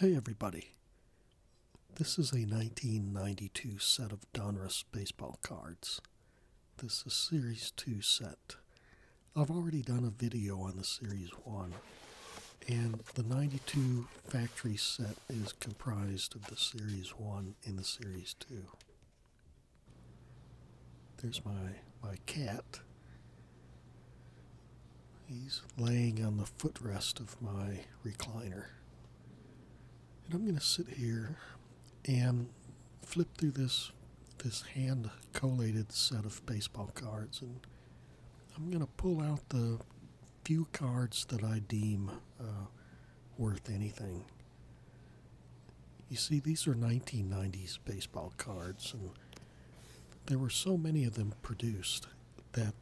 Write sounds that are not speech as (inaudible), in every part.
Hey everybody. This is a 1992 set of Donruss baseball cards. This is Series 2 set. I've already done a video on the Series 1, and the 92 factory set is comprised of the Series 1 and the Series 2. There's my, my cat. He's laying on the footrest of my recliner. And I'm going to sit here and flip through this this hand collated set of baseball cards, and I'm going to pull out the few cards that I deem uh, worth anything. You see, these are 1990s baseball cards, and there were so many of them produced that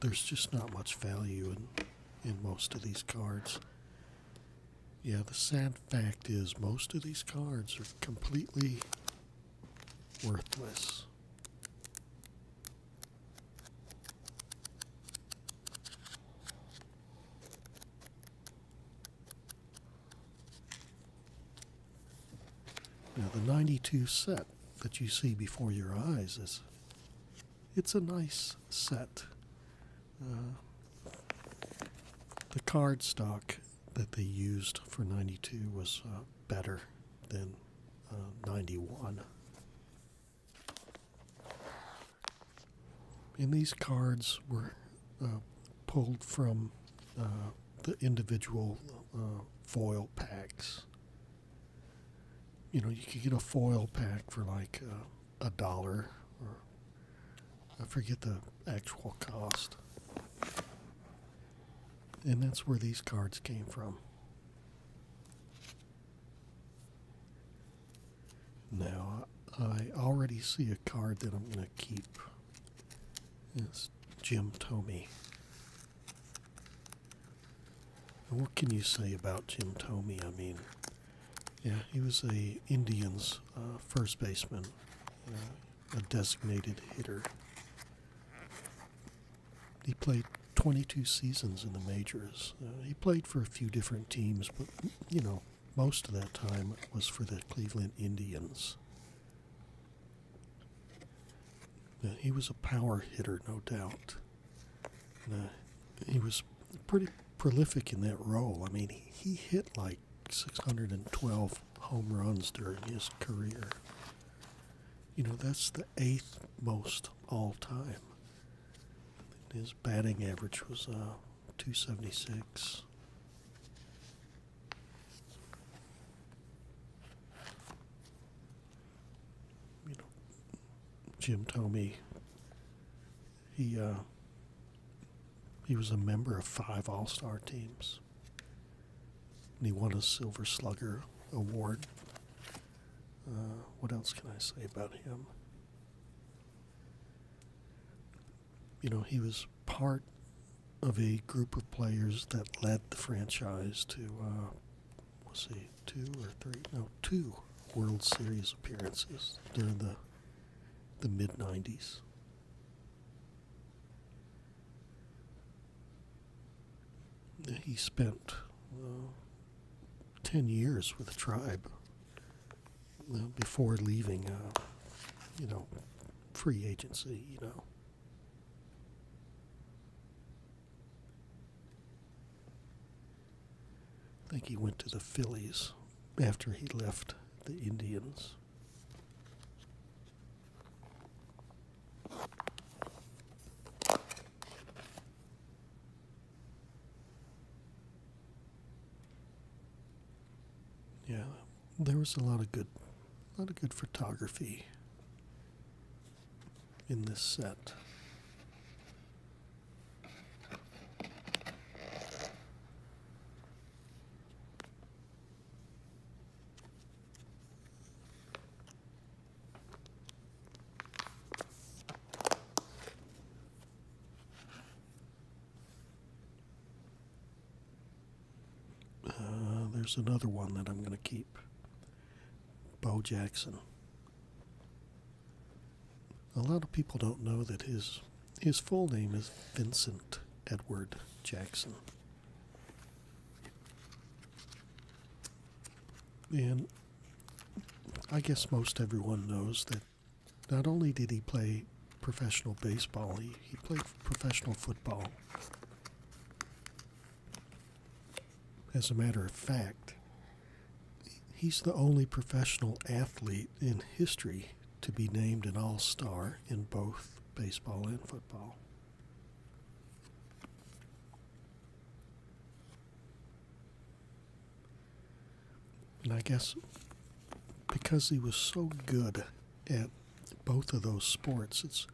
there's just not much value in, in most of these cards. Yeah, the sad fact is most of these cards are completely worthless. Now the 92 set that you see before your eyes is it's a nice set. Uh, the card stock that they used for 92 was uh, better than uh, 91. And these cards were uh, pulled from the individual foil packs. You know, you could get a foil pack for like a dollar I forget the actual cost. And that's where these cards came from. Now, I already see a card that I'm going to keep. It's Jim Tomey. what can you say about Jim Tomey? I mean, yeah, he was a Indians uh, first baseman a designated hitter. He played 22 seasons in the majors. Uh, he played for a few different teams, but you know, most of that time was for the Cleveland Indians. Uh, he was a power hitter, no doubt. Uh, he was pretty prolific in that role. I mean, he hit like 612 home runs during his career. You know, that's the eighth most all time. His batting average was uh, 276. You know, Jim told he uh, he was a member of five All Star teams. And he won a Silver Slugger Award. Uh, what else can I say about him? You know, he was part of a group of players that led the franchise to, uh, let's see, two or three, no, two World Series appearances during the the mid 90s. He spent 10 years with the tribe before leaving, uh, you know, free agency, you know. I think he went to the Phillies after he left the Indians. Yeah, there was a lot of good, a lot of good photography in this set. Uh, there's another one that I'm going to keep. Bo Jackson. A lot of people don't know that his his full name is Vincent Edward Jackson. And I guess most everyone knows that not only did he play professional baseball, he, he played professional football. As a matter of fact, he's the only professional athlete in history to be named an All Star in both baseball and football. And I guess because he was so good at both of those sports, it's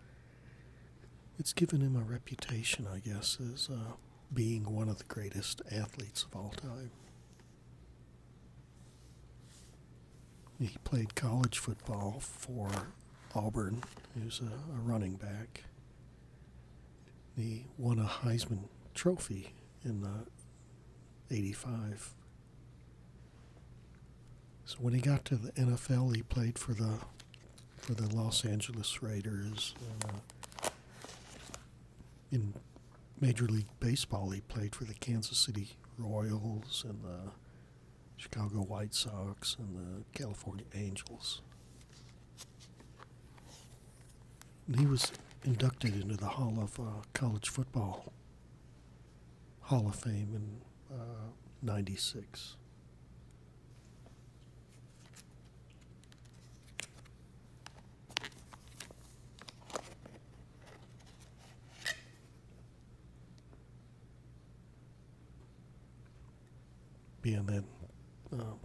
it's given him a reputation, I guess, as uh, being one of the greatest athletes of all time. He played college football for Auburn. He was a, running back. He won a Heisman Trophy in the 85. So when he got to the NFL, he played for the for the Los Angeles Raiders. Uh, Major League Baseball, he played for the Kansas City Royals and the Chicago White Sox and the California Angels. And he was inducted into the Hall of uh, College Football Hall of Fame in uh, 96. Being that um,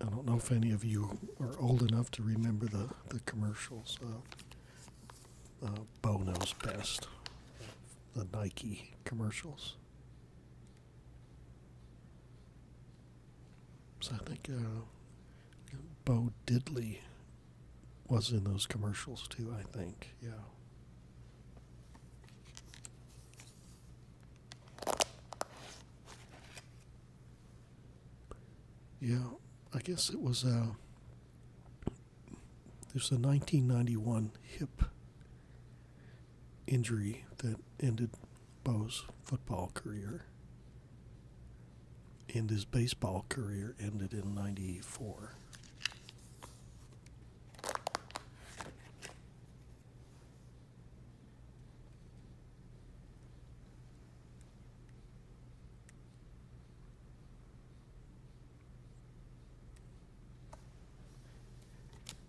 I don't know if any of you are old enough to remember the, the commercials. Uh, Bono's best. The Nike commercials. So I think uh, Bo Diddley was in those commercials too, I think. Yeah. Yeah, I guess it was uh there's a 1991 hip injury that ended Bo's football career and his baseball career ended in 94.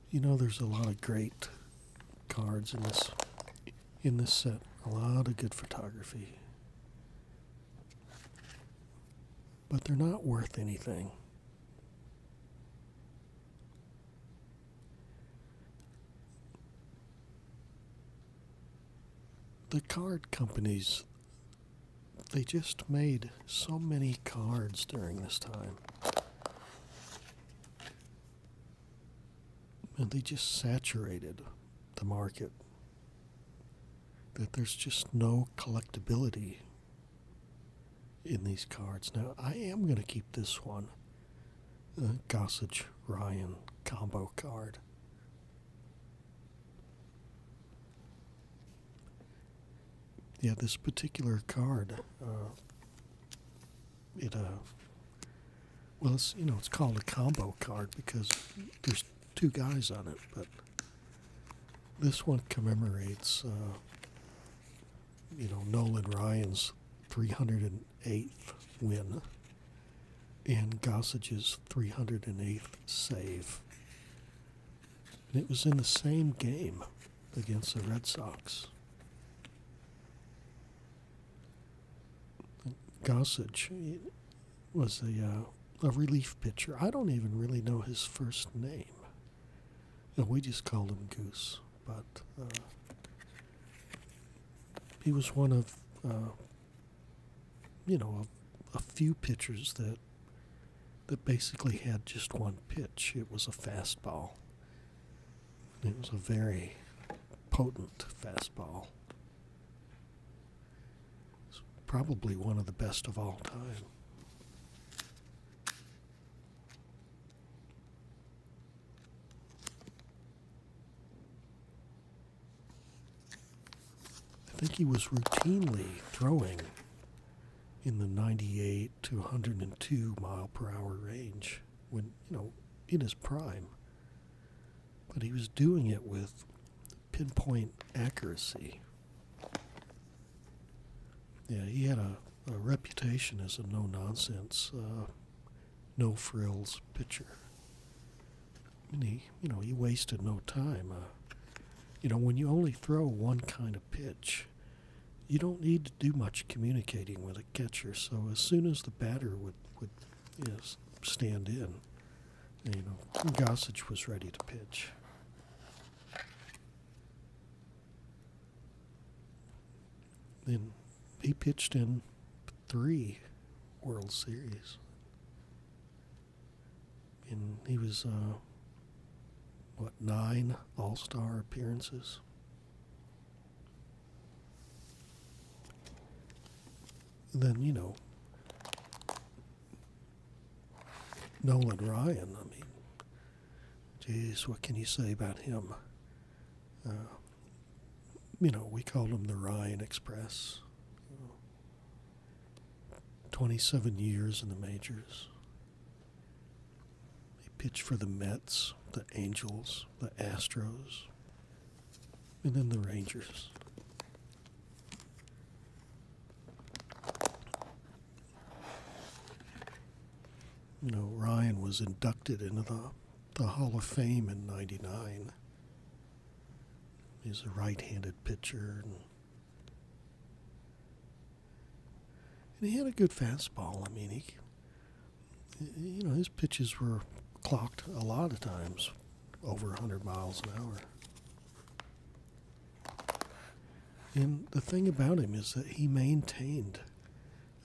You know, there's a lot of great cards in this in this set. A lot of good photography. But they're not worth anything. The card companies, they just made so many cards during this time. And they just saturated the market that there's just no collectability in these cards. Now, I am going to keep this one uh, Gossage Ryan combo card. Yeah, this particular card, uh, it uh, well, it's, you know, it's called a combo card because there's two guys on it, but this one commemorates, uh, you know, Nolan Ryan's 308th win and Gossage's 308th save. And it was in the same game against the Red Sox. Gossage, was a uh, a relief pitcher. I don't even really know his first name. You we just called him Goose, but uh, he was one of uh, you know a, a few pitchers that that basically had just one pitch. It was a fastball. It was a very potent fastball. It's probably one of the best of all time. I think he was routinely throwing in the 98 to 102 mile per hour range when, you know, in his prime. But he was doing it with pinpoint accuracy. Yeah, he had a, reputation as a no nonsense, uh, no frills pitcher. And he, you know, he wasted no time. Uh, you know, when you only throw one kind of pitch, you don't need to do much communicating with a catcher. So as soon as the batter would would you stand in, you know Gossage was ready to pitch. Then he pitched in three World Series, and he was uh, what nine All Star appearances then you know Nolan Ryan. I mean, jeez, what can you say about him? Uh, you know, we called him the Ryan Express. 27 years in the majors. He pitched for the Mets, the Angels, the Astros, and then the Rangers. You know, Ryan was inducted into the, the Hall of Fame in 99. He's a right handed pitcher. And, he had a good fastball. I mean, he, you know, his pitches were clocked a lot of times, over 100 miles an hour. And the thing about him is that he maintained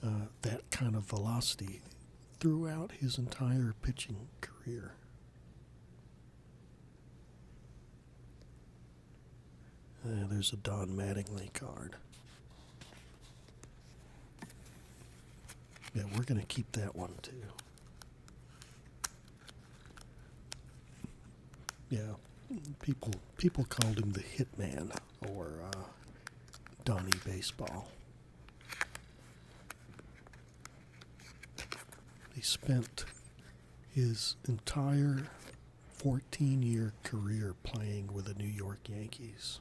uh, that kind of velocity throughout his entire pitching career. Uh, there's a Don Mattingly card. Yeah, we're going to keep that one too. Yeah, people people called him the Hitman or uh, Donny Baseball. He spent his entire 14 year career playing with the New York Yankees.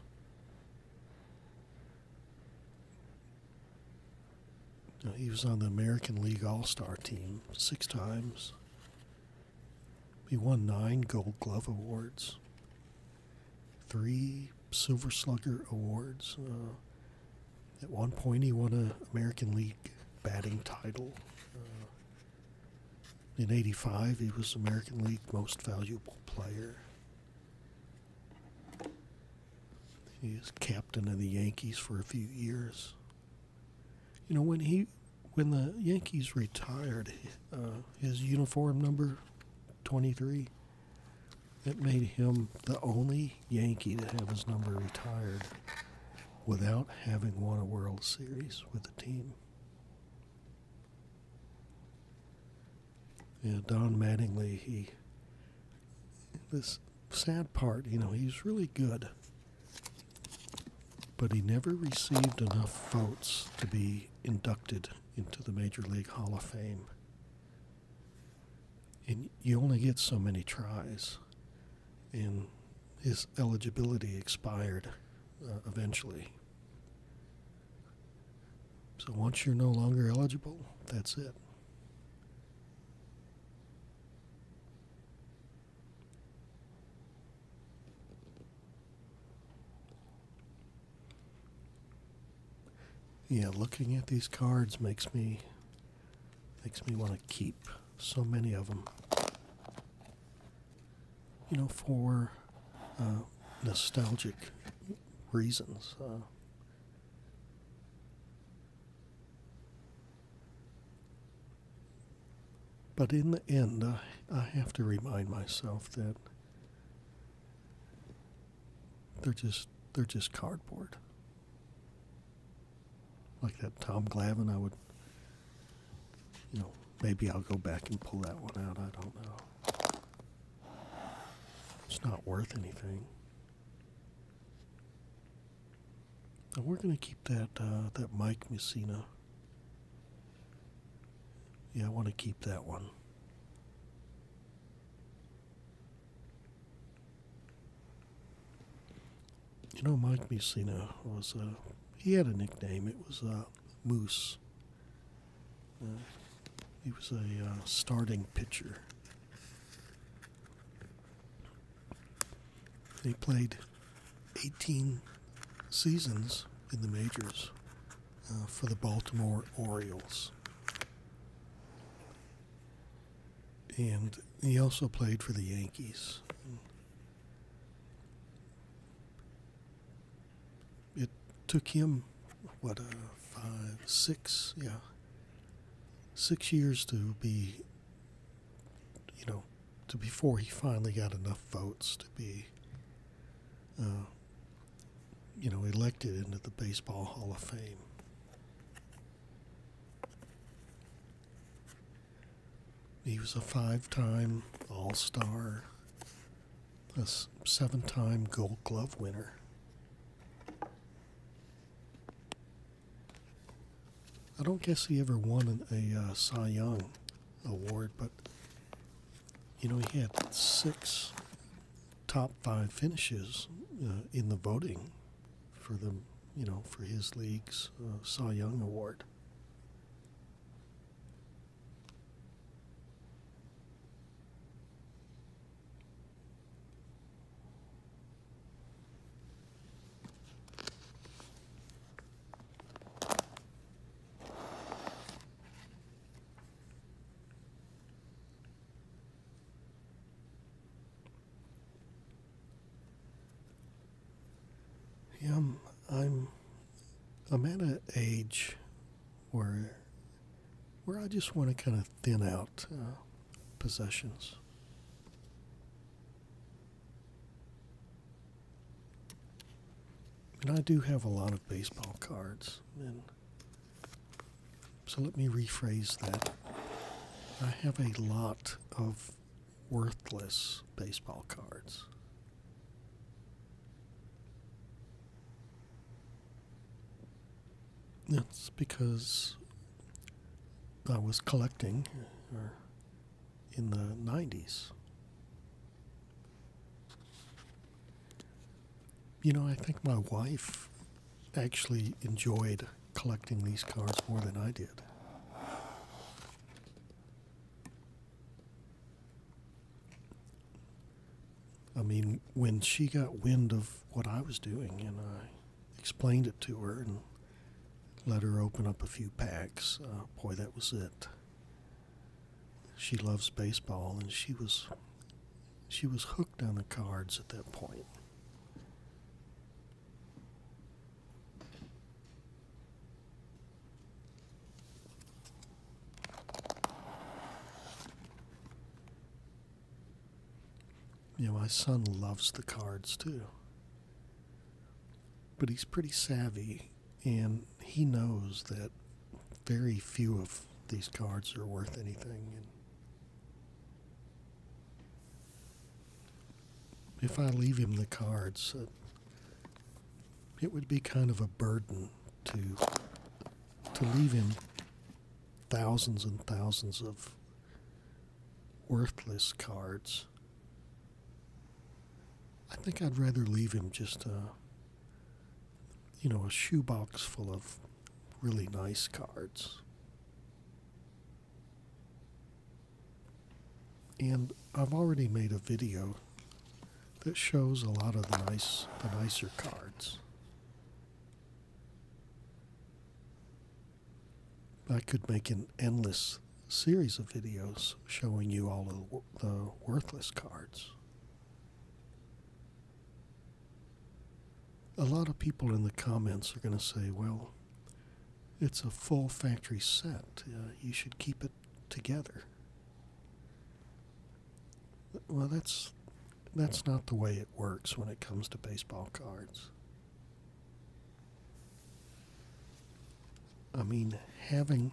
He was on the American League All Star team six times. He won nine Gold Glove Awards, three Silver Slugger Awards. Uh, at one point, he won an American League batting title. Uh, in 85, he was American League Most Valuable Player. He was captain of the Yankees for a few years. You know, when he, when the Yankees retired uh, his uniform number 23, it made him the only Yankee to have his number retired without having won a World Series with the team. Yeah, Don Mattingly, he this sad part, you know, he's really good. But he never received enough votes to be inducted into the Major League Hall of Fame. And you only get so many tries. And his eligibility expired uh, eventually. So once you're no longer eligible, that's it. Yeah, looking at these cards makes me makes me want to keep so many of them. You know, for uh, nostalgic reasons. Uh. but in the end, I, I have to remind myself that they're just they're just cardboard. Like that Tom Glavine, I would, you know, maybe I'll go back and pull that one out. I don't know. It's not worth anything. And we're gonna keep that uh, that Mike Messina. Yeah, I want to keep that one. You know, Mike Messina was a uh, he had a nickname. It was uh, Moose he was a uh, starting pitcher. He played 18 seasons in the majors uh, for the Baltimore Orioles. And he also played for the Yankees it took him what uh, five six yeah six years to be you know to before he finally got enough votes to be uh, you know elected into the baseball hall of fame he was a five-time all-star a seven time gold glove winner. I don't guess he ever won a uh, Cy Young award, but you know, he had six top five finishes uh, in the voting for the, you know, for his league's uh, Cy Young award. Yeah, I'm, a man i at age where where I just want to kind of thin out uh, possessions. And I do have a lot of baseball cards. And so let me rephrase that. I have a lot of worthless baseball cards. That's because I was collecting uh, in the 90s. You know, I think my wife actually enjoyed collecting these cards more than I did. I mean, when she got wind of what I was doing and I explained it to her and let her open up a few packs, uh, boy, that was it. She loves baseball and she was she was hooked on the cards at that point. Yeah, my son loves the cards too. But he's pretty savvy and he knows that very few of these cards are worth anything. if I leave him the cards, uh, it would be kind of a burden to to leave him thousands and thousands of worthless cards. I think I'd rather leave him just a, you know, a shoebox full of really nice cards. And I've already made a video that shows a lot of the nice the nicer cards. I could make an endless series of videos showing you all the worthless cards. A lot of people in the comments are going to say, well, it's a full factory set. Uh, you should keep it together. Well, that's that's not the way it works when it comes to baseball cards. I mean, having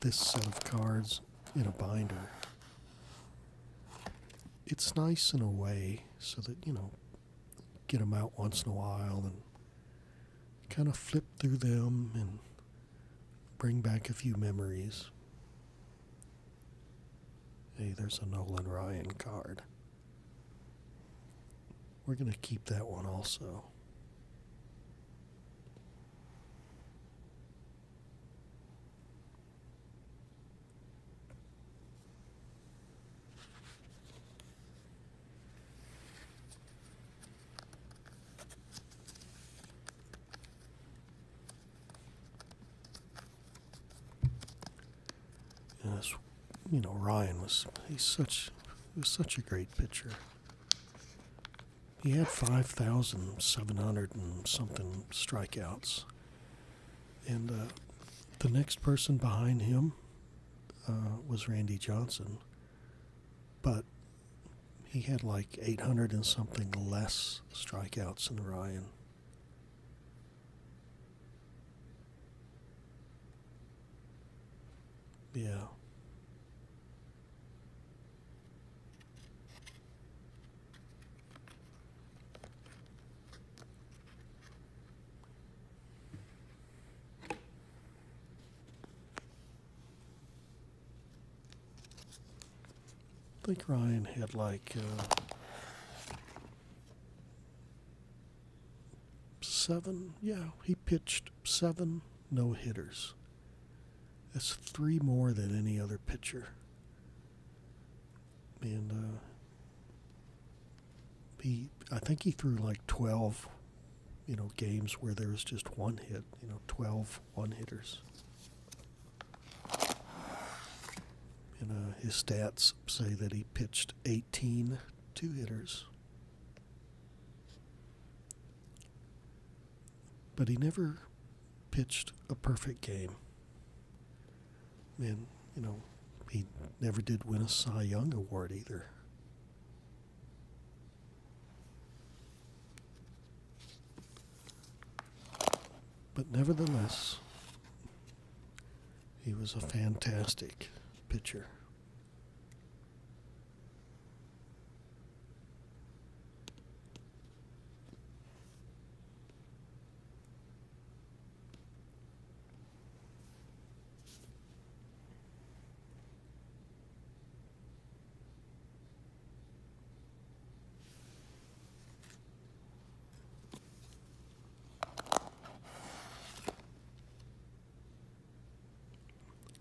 this set of cards in a binder, it's nice in a way so that, you know, get them out once in a while and kind of flip through them and bring back a few memories. Hey, there's a Nolan Ryan card. We're going to keep that one also. And you know, Ryan was he's such was such a great pitcher. He had five thousand seven hundred and something strikeouts, and uh, the next person behind him uh, was Randy Johnson. But he had like 800 and something less strikeouts than Ryan. Yeah. I think Ryan had like uh, seven. Yeah, he pitched seven no hitters. That's three more than any other pitcher. And uh, he, I think he threw like 12, you know, games where there was just one hit, you know, 12 one hitters. And uh, his stats say that he pitched 18 two hitters. But he never pitched a perfect game. And, you know, he never did win a Cy Young Award either. But nevertheless, he was a fantastic pitcher.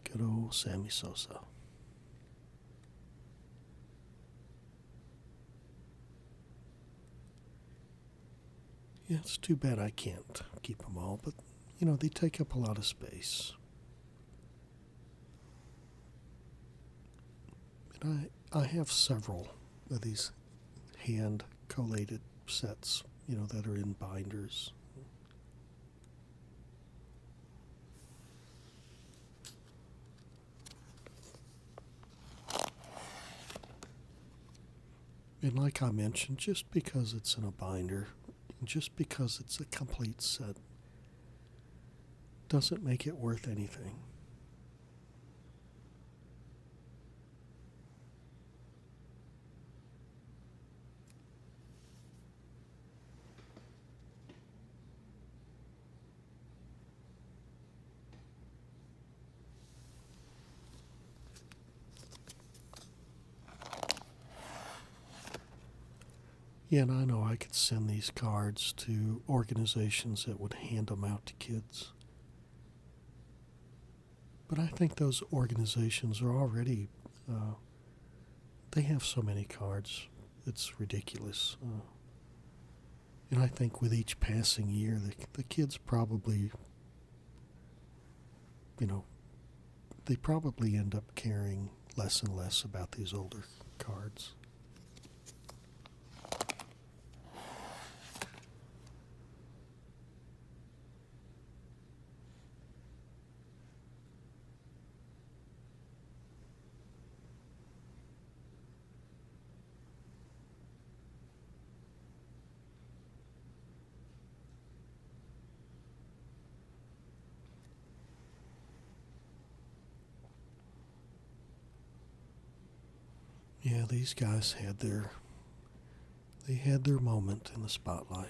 Good old Sammy Sosa. Yeah, it's too bad I can't keep them all, but you know, they take up a lot of space. I, I have several of these hand collated sets, you know, that are in binders. And like I mentioned, just because it's in a binder, just because it's a complete set, doesn't make it worth anything. Yeah, and I know I could send these cards to organizations that would hand them out to kids. But I think those organizations are already, uh, they have so many cards, it's ridiculous. Uh. and I think with each passing year, the, the kids probably, you know, they probably end up caring less and less about these older cards. Yeah, these guys had their they had their moment in the spotlight.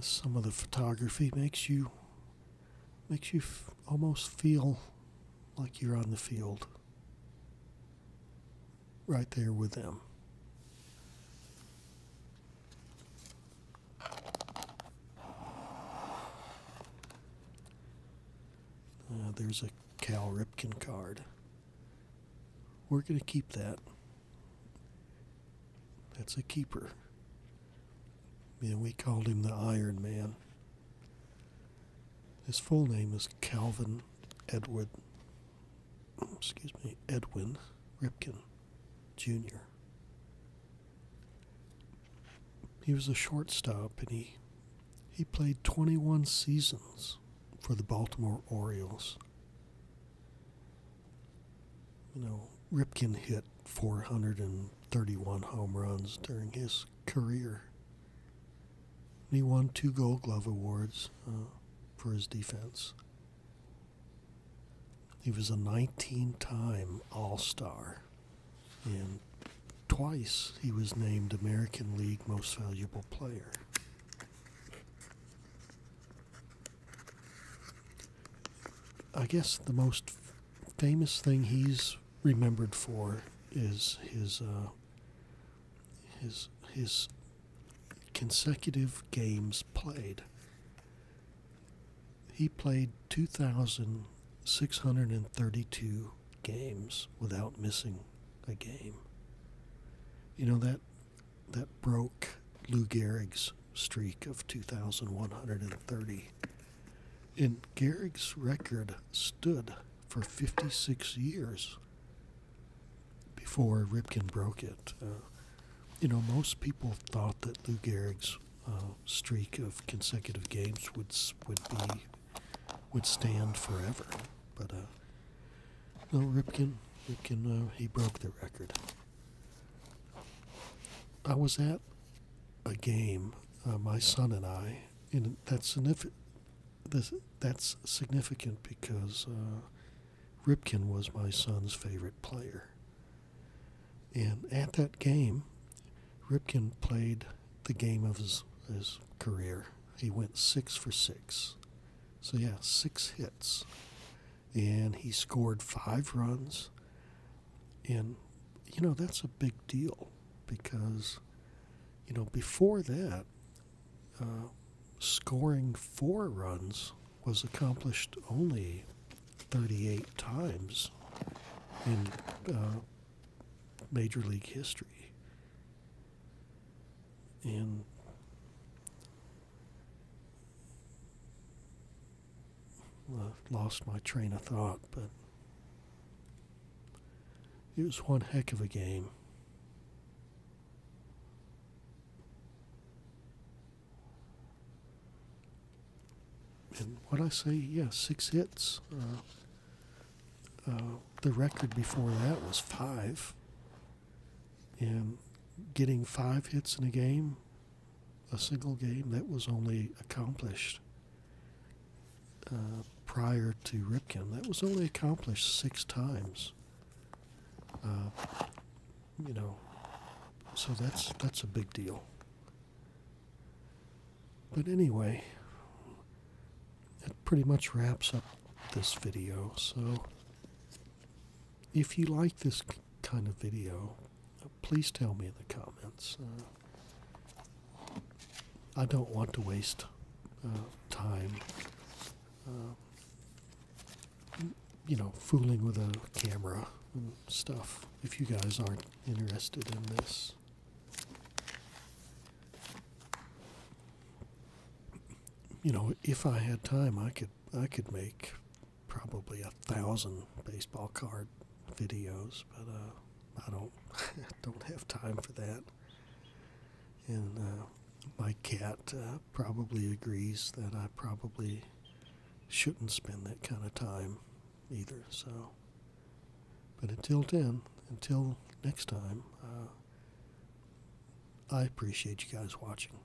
some of the photography makes you makes you almost feel like you're on the field right there with them uh, there's a Cal Ripken card. We're going to keep that. That's a keeper. And we called him the Iron Man. His full name is Calvin Edward, excuse me, Edwin Ripkin Jr. He was a shortstop and he he played 21 seasons for the Baltimore Orioles. You know, Ripken hit 431 home runs during his career. He won two Gold Glove awards uh, for his defense. He was a 19 time All Star, and twice he was named American League Most Valuable Player. I guess the most famous thing he's remembered for is his uh, his his consecutive games played. He played 2,632 games without missing a game. You know that that broke Lou Gehrig's streak of 2,130. And Gehrig's record stood for 56 years before Ripken broke it. Uh, you know, most people thought that Lou Gehrig's uh, streak of consecutive games would would be would stand forever, but uh, no, Ripken. Ripken, uh, he broke the record. I was at a game, uh, my son and I, and that's significant. because uh, Ripken was my son's favorite player. And at that game, Ripken played the game of his career. He went six for six. So, yeah, six hits and he scored five runs. And, you know, that's a big deal because, you know, before that, uh, scoring four runs was accomplished only 38 times in uh, Major League history. And I've lost my train of thought, but it was one heck of a game. And what I say, yeah, six hits. Uh, uh, the record before that was five. And getting five hits in a game, a single game, that was only accomplished uh, prior to Ripken. That was only accomplished six times. Uh, you know, so that's that's a big deal. But anyway, that pretty much wraps up this video. So if you like this kind of video, please tell me in the comments. Uh, I don't want to waste uh, time, uh, you know, fooling with a camera and stuff if you guys aren't interested in this you know, if I had time, I could I could make probably a thousand baseball card videos, but uh, I don't (laughs) don't have time for that. And uh, my cat uh, probably agrees that I probably shouldn't spend that kind of time either. So, but until then, until next time, I appreciate you guys watching.